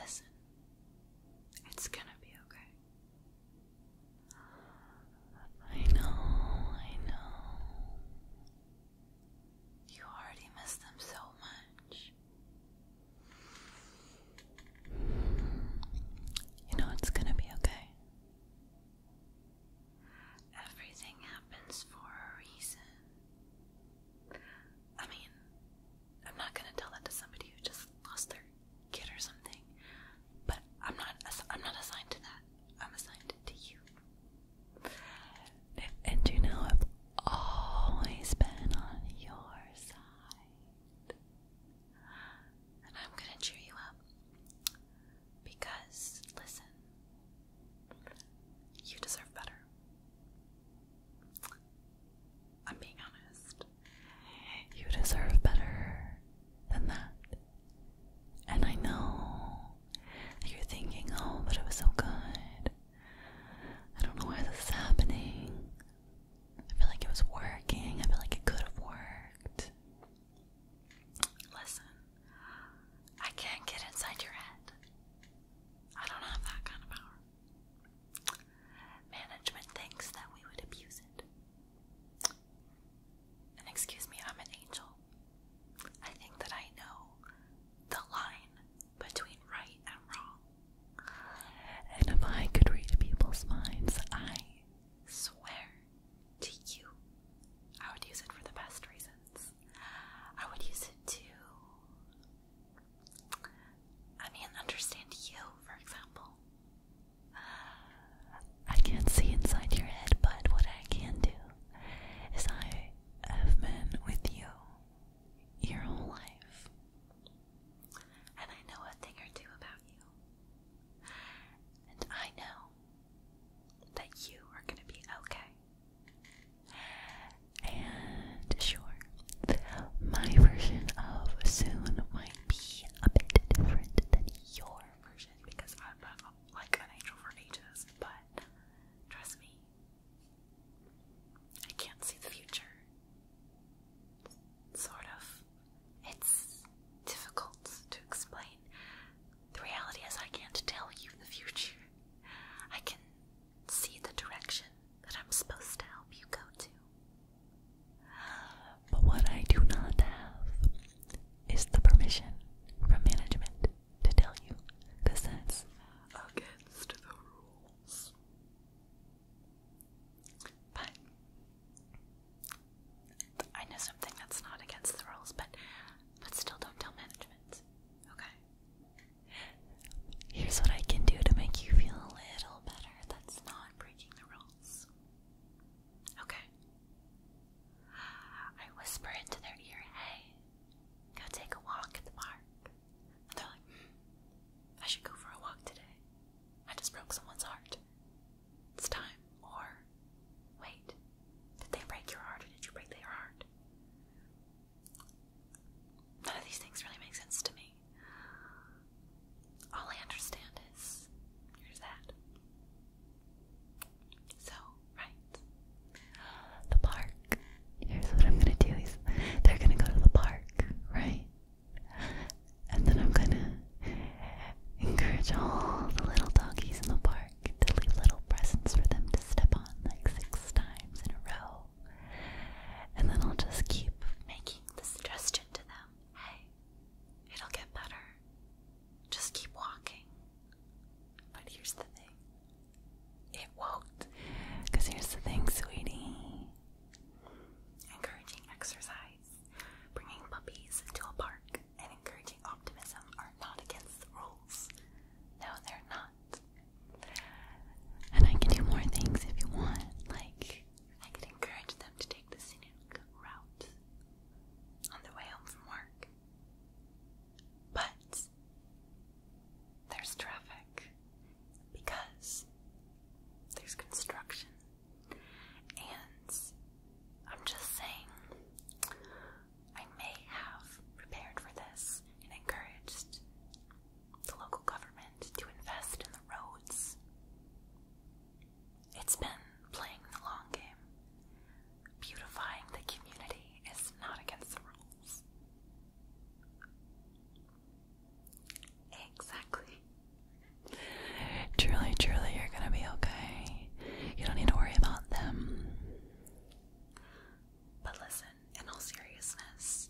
Listen, it's gonna be okay. I know, I know. You already miss them so much. You know, it's gonna be okay. Everything happens for a reason. I mean, I'm not gonna tell that to somebody who just lost their kid or something. But I'm not. I'm not assigned to that. I'm assigned to you. And you know, I've always been on your side. And I'm gonna cheer you up. Because, listen, you deserve better. I'm being honest. You deserve better than that. And I know you're thinking, oh, but it was so good. I don't know why this is happening. I feel like it was working. I feel like it could have worked. Listen, I can't get inside your head. I don't have that kind of power. Management thinks that we would abuse it. And excuse me, I'm an angel. I think that I know the line between right and wrong. And if I could read people's minds, I swear to you. I would use it for the best reasons. I would use it to, I mean, understand you, for example. I can't see inside your head, but what I can do is I have been with you your whole life, and I know a thing or two about you, and I know that you are going to be okay. And sure, my version of soon might be a bit different than your version because I've like an angel for ages, but trust me, I can't see the future. Sort of. It's difficult to explain. The reality is, I can't tell you the future. I can see the direction that I'm supposed to help you go to. But what I do not have is the permission from management to tell you, because that's against the rules. But I know something that's not against the rules, but but still don't tell management. Okay. Here's what I can do to make you feel a little better. That's not breaking the rules. Okay. I whisper into their ear, hey, go take a walk at the park. they're like, hmm, I should go for a walk today. I just broke someone's heart. It's time. Or, wait, did they break your heart or did you break their heart? None of these things really make sense to me. All I understand is here's that. So, right. The park. Here's what I'm gonna do is they're gonna go to the park, right? And then I'm gonna encourage all the little doggies in the park work little presents for them to step on like six times in a row. And then I'll just keep making the suggestion to them hey, it'll get better. Just keep walking. But here's the thing it won't. Because here's the thing, sweetie encouraging exercise, bringing puppies into a park, and encouraging optimism not against the rules. No, they're not. And I can do more things if you want. Like, I could encourage them to take the scenic route on their way home from work. But there's traffic because there's construction. And I'm just saying, I may have prepared for this and encouraged the local government to invest in the roads. It's been playing the long game. Beautifying the community is not against the rules. Exactly. Truly, truly, you're gonna be okay. You don't need to worry about them. But listen, in all seriousness,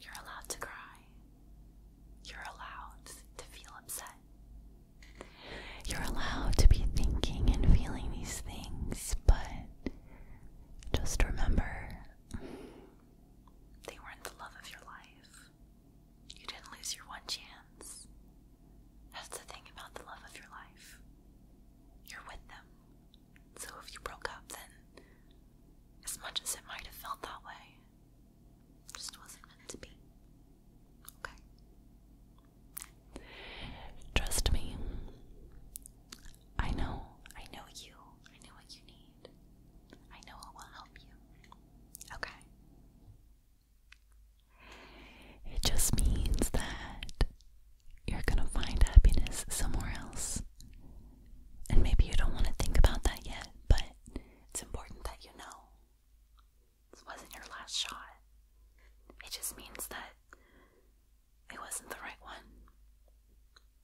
you're allowed to cry. You're allowed to feel upset. You're allowed to be thinking and feeling these things, but just remember they weren't the love of your life. You didn't lose your one chance. That's the thing about the love of your life. You're with them. So if you broke up, then as much as it might have felt that way, just wasn't meant to be. Okay? Trust me. I know. I know you. I know what you need. I know it will help you. Okay? It just means that you're going to find happiness somewhere else. And maybe you don't want to think about that yet, but it's important that you know. This wasn't your last shot. It just means that it wasn't the right one.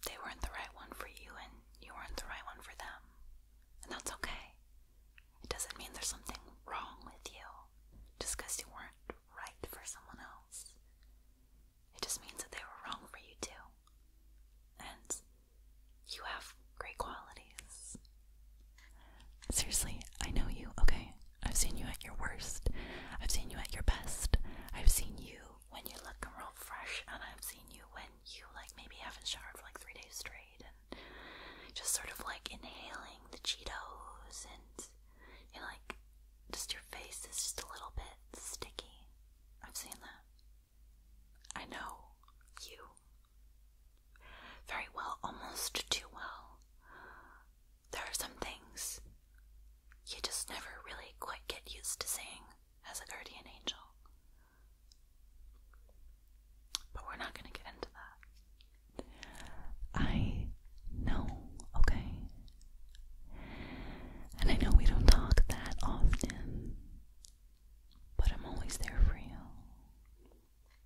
They weren't the right one for you, and you weren't the right one for them. And that's okay. It doesn't mean there's something wrong with you just because you weren't right for someone else. It just means that they were wrong for you too. And you have great qualities. Seriously, I know you, okay? I've seen you at your worst. I've seen you at your best. I've seen you when you are looking real fresh, and I've seen you when you, like, maybe haven't showered for like three days straight and just sort of like inhaling the Cheetos and face. like, just your face is just a little bit sticky. I've seen that. I know you very well, almost too well. There are some things you just never really quite get used to seeing as a guardian angel. But we're not going to get into that. I know, okay? And I know we don't talk that often, but I'm always there for you.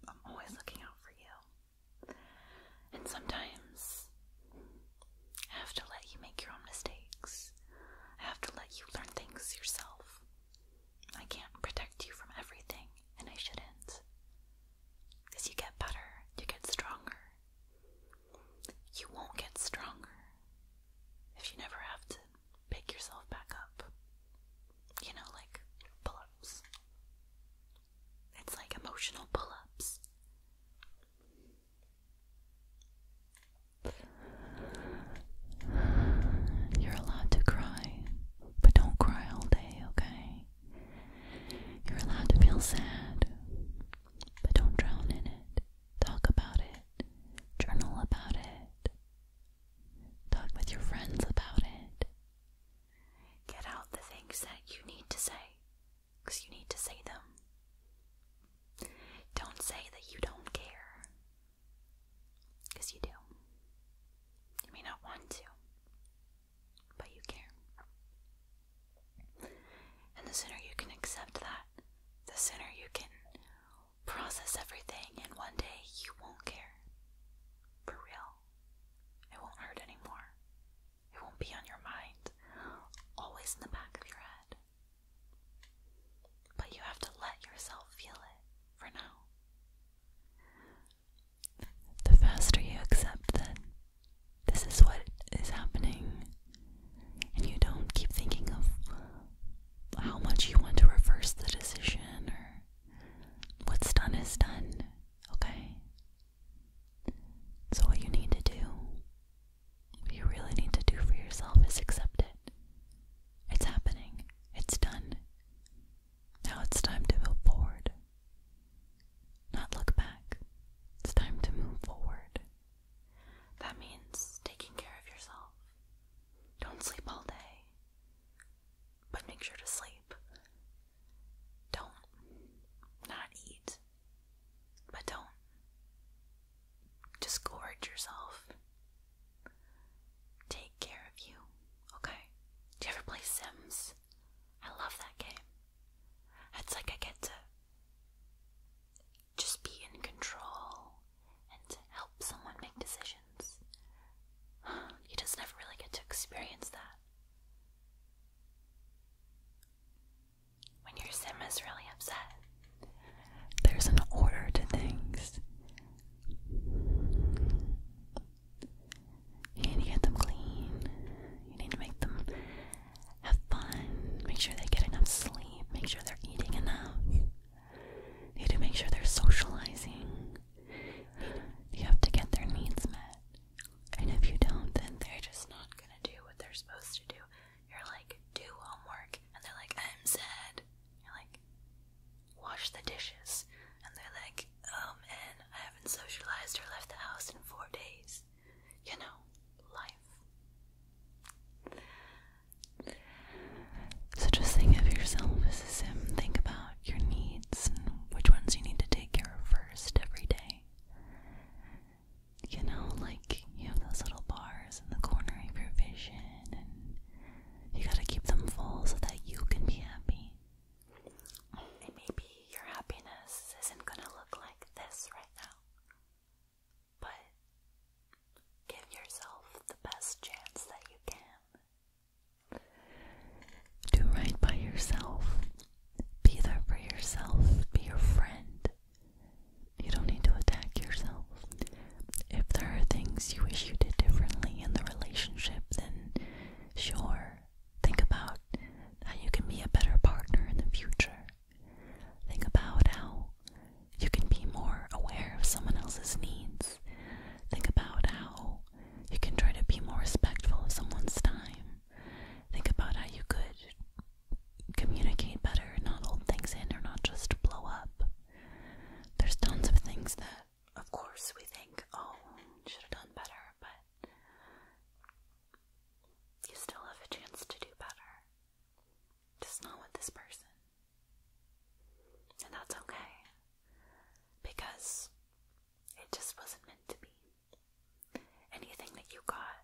I'm always looking out for you. And sometimes I have to let you make your own mistakes, I have to let you learn things yourself. I can't protect you from everything, and I shouldn't. As you get better, you get stronger. You won't get stronger if you never have to pick yourself back up. You know, like pull ups. It's like emotional pull ups. You're allowed to cry, but don't cry all day, okay? You're allowed to feel sad, but don't drown in it. Talk about it. Journal about it. Talk with your friends about it. Get out the things that you need to say, because you need to say them. Don't say that you don't care, because you do. You may not want to but you care. And the sooner you can accept that, the sooner you can process everything, and one day you won't care. For real. It won't hurt anymore. It won't be on your mind, always in the back of your head. But you have to let yourself feel it for now the faster you accept that this is what is happening, and you don't keep thinking of how much you want to reverse the decision or what's done is done, okay? So, what you need to do, what you really need to do for yourself is accept it. It's happening, it's done. Now it's time to move forward. Not look back. It's time to move forward. That means taking care of yourself. Don't sleep all day, but make sure to sleep. Don't not eat, but don't disgorge yourself. Take care of you, okay? Do you ever play Sims? I love that game. It's like I get to just be in control and help someone make decisions. You just never really get to experience that. When your sim is really upset, there's an order to things. You need to get them clean. You need to make them have fun. Make sure they get enough sleep. Make sure they're eating enough. You need to make sure they're socializing. You have to get their needs met. And if you don't, then they're just not gonna do what they're supposed to do. You're like, do homework. And they're like, I'm sad. You're like, wash the dishes. And they're like, um, and I haven't socialized or left the house in four days. You know, life. So just think of yourself as a sim. Think about your needs which ones you need to take care of first every day. You know, like you have those little bars in the corner of your vision, and you gotta keep them full so that you can be happy. And maybe your happiness isn't gonna look like this right now. But give yourself the best chance that you can. Do right by yourself. Be there for yourself. Be your friend. You don't need to attack yourself. If there are things you wish you did differently in the relationship, then sure, Think about how you can be a better partner in the future. Think about how you can be more aware of someone else's needs. Think about how you can try to be more respectful of someone's time. Think about how you could communicate better, and not hold things in or not just blow up. There's tons of things that, of course, we think, oh, should have done better but you still have a chance to do better. Just not with this person. And that's okay. Because it just wasn't meant to be. Anything that you got,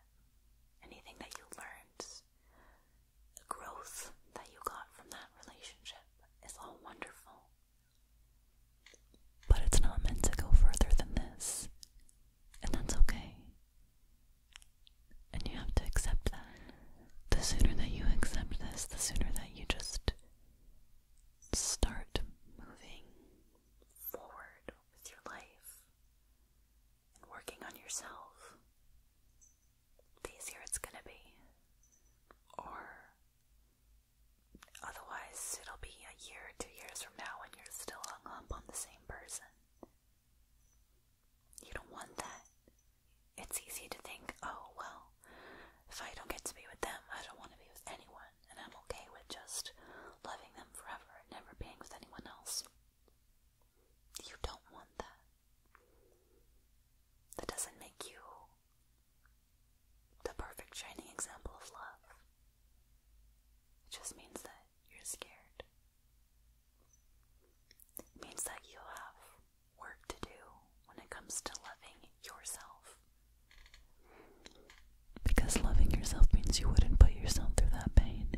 anything that you learned, growth that you got from that relationship is all wonderful. But it's not meant to go further than this. And that's okay. And you have to accept that. The sooner that you accept this, the sooner that you just start moving forward with your life and working on yourself, the easier it's going to be. Or Otherwise, it'll be a year or two years from now when you're still hung up on the same person. You don't want that. It's easy to think, oh, well, if I don't get to be with them, I don't want to be with anyone, and I'm okay with just loving them forever and never being with anyone else. You don't want that. That doesn't make you the perfect shining example of love. It just means that you're scared. It means that you have work to do when it comes to loving yourself. Because loving yourself means you wouldn't put yourself through that pain.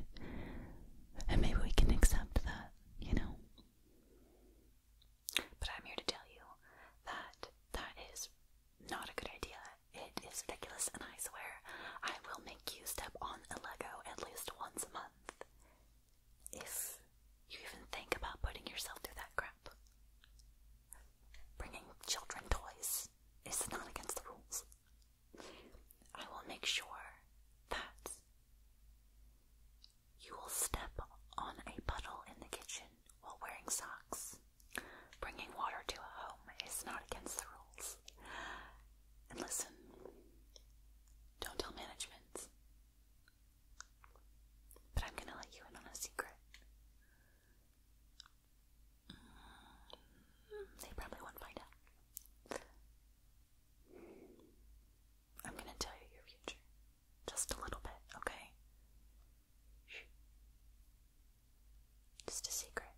And maybe we can accept that, you know? But I'm here to tell you that that is not a good idea. It is ridiculous, and I swear I will make you step on a Lego at least once a month. If you even think about putting yourself through that crap, bringing children toys is not against the rules. I will make sure that you will step on a puddle in the kitchen while wearing socks. Bringing water to a home is not against the rules. And listen, don't tell management. But I'm gonna let you in on a secret. Mm, they probably won't find out. I'm gonna tell you your future. Just a little bit, okay? Just a secret.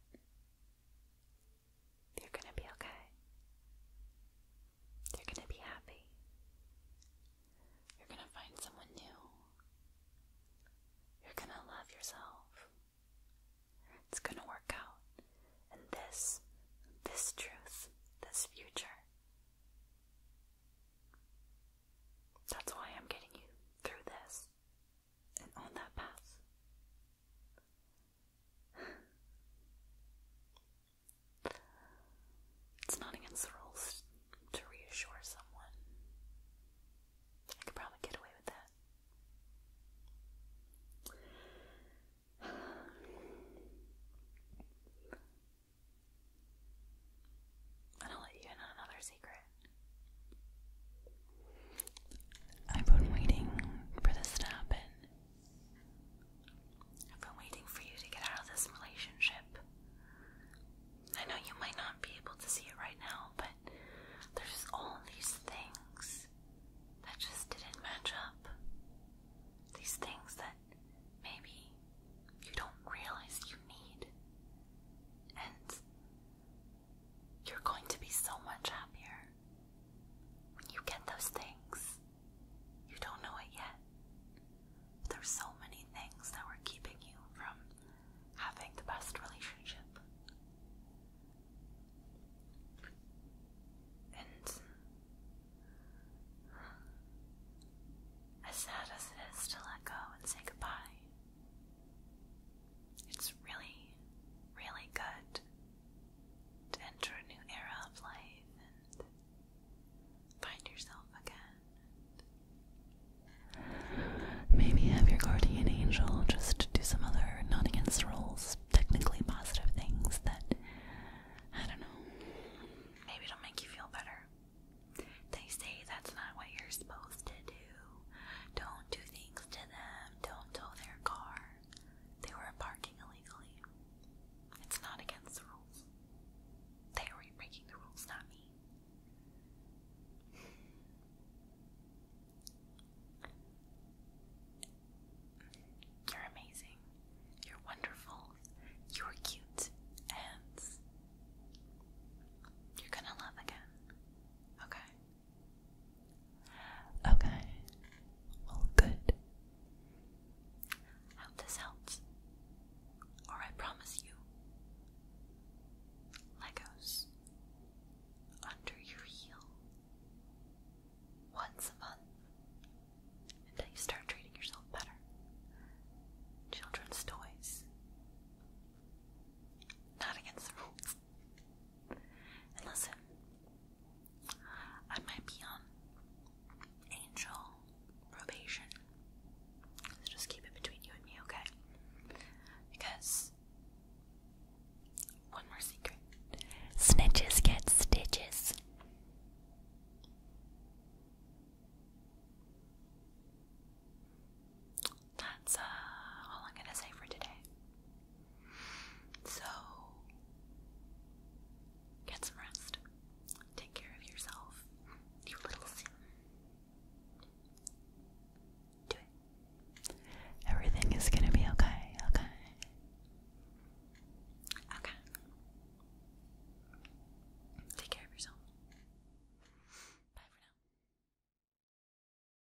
You're gonna be okay. You're gonna be happy. You're gonna find someone new. You're gonna love yourself. It's gonna work out. And this, this truth, this future. That's why I'm getting you through this and on that path. It's not against the rules to reassure someone. I could probably get away with that. I'll let you in on another secret. I've been waiting for this to happen. I've been waiting for you to get out of this relationship. I know you might not be able to see it right now, but there's all these things that just didn't match up. These things that maybe you don't realize you need. And you're going to be so much happier when you get those things. You don't know it yet. There's so many things that were keeping you from having the best relationship. And as sad as it is to let go and say goodbye, it's really, really good to enter a new era of life and find yourself again. Maybe have your guardian angel just do some other not against rules, technically positive things that I don't know. Maybe it'll make you feel better. They say that's not what you're supposed to do do. not do things to them. Don't tow their car. They were parking illegally. It's not against the rules. They were breaking the rules, not me. You're amazing. You're wonderful. You're cute. And you're gonna love again. Okay? Okay. Well, good. Hope this helps. Or I promise you, Legos under your heel once a month until you start treating yourself better. Children's toys. Not against the rules listen, I might be on angel probation. So just keep it between you and me, okay? Because one more secret snitches get stitches that's uh, all I'm gonna say for today. So, get some rest. Take care of yourself, you little sin. Do it. Everything is gonna be okay, okay? Okay. Take care of yourself. Bye for now.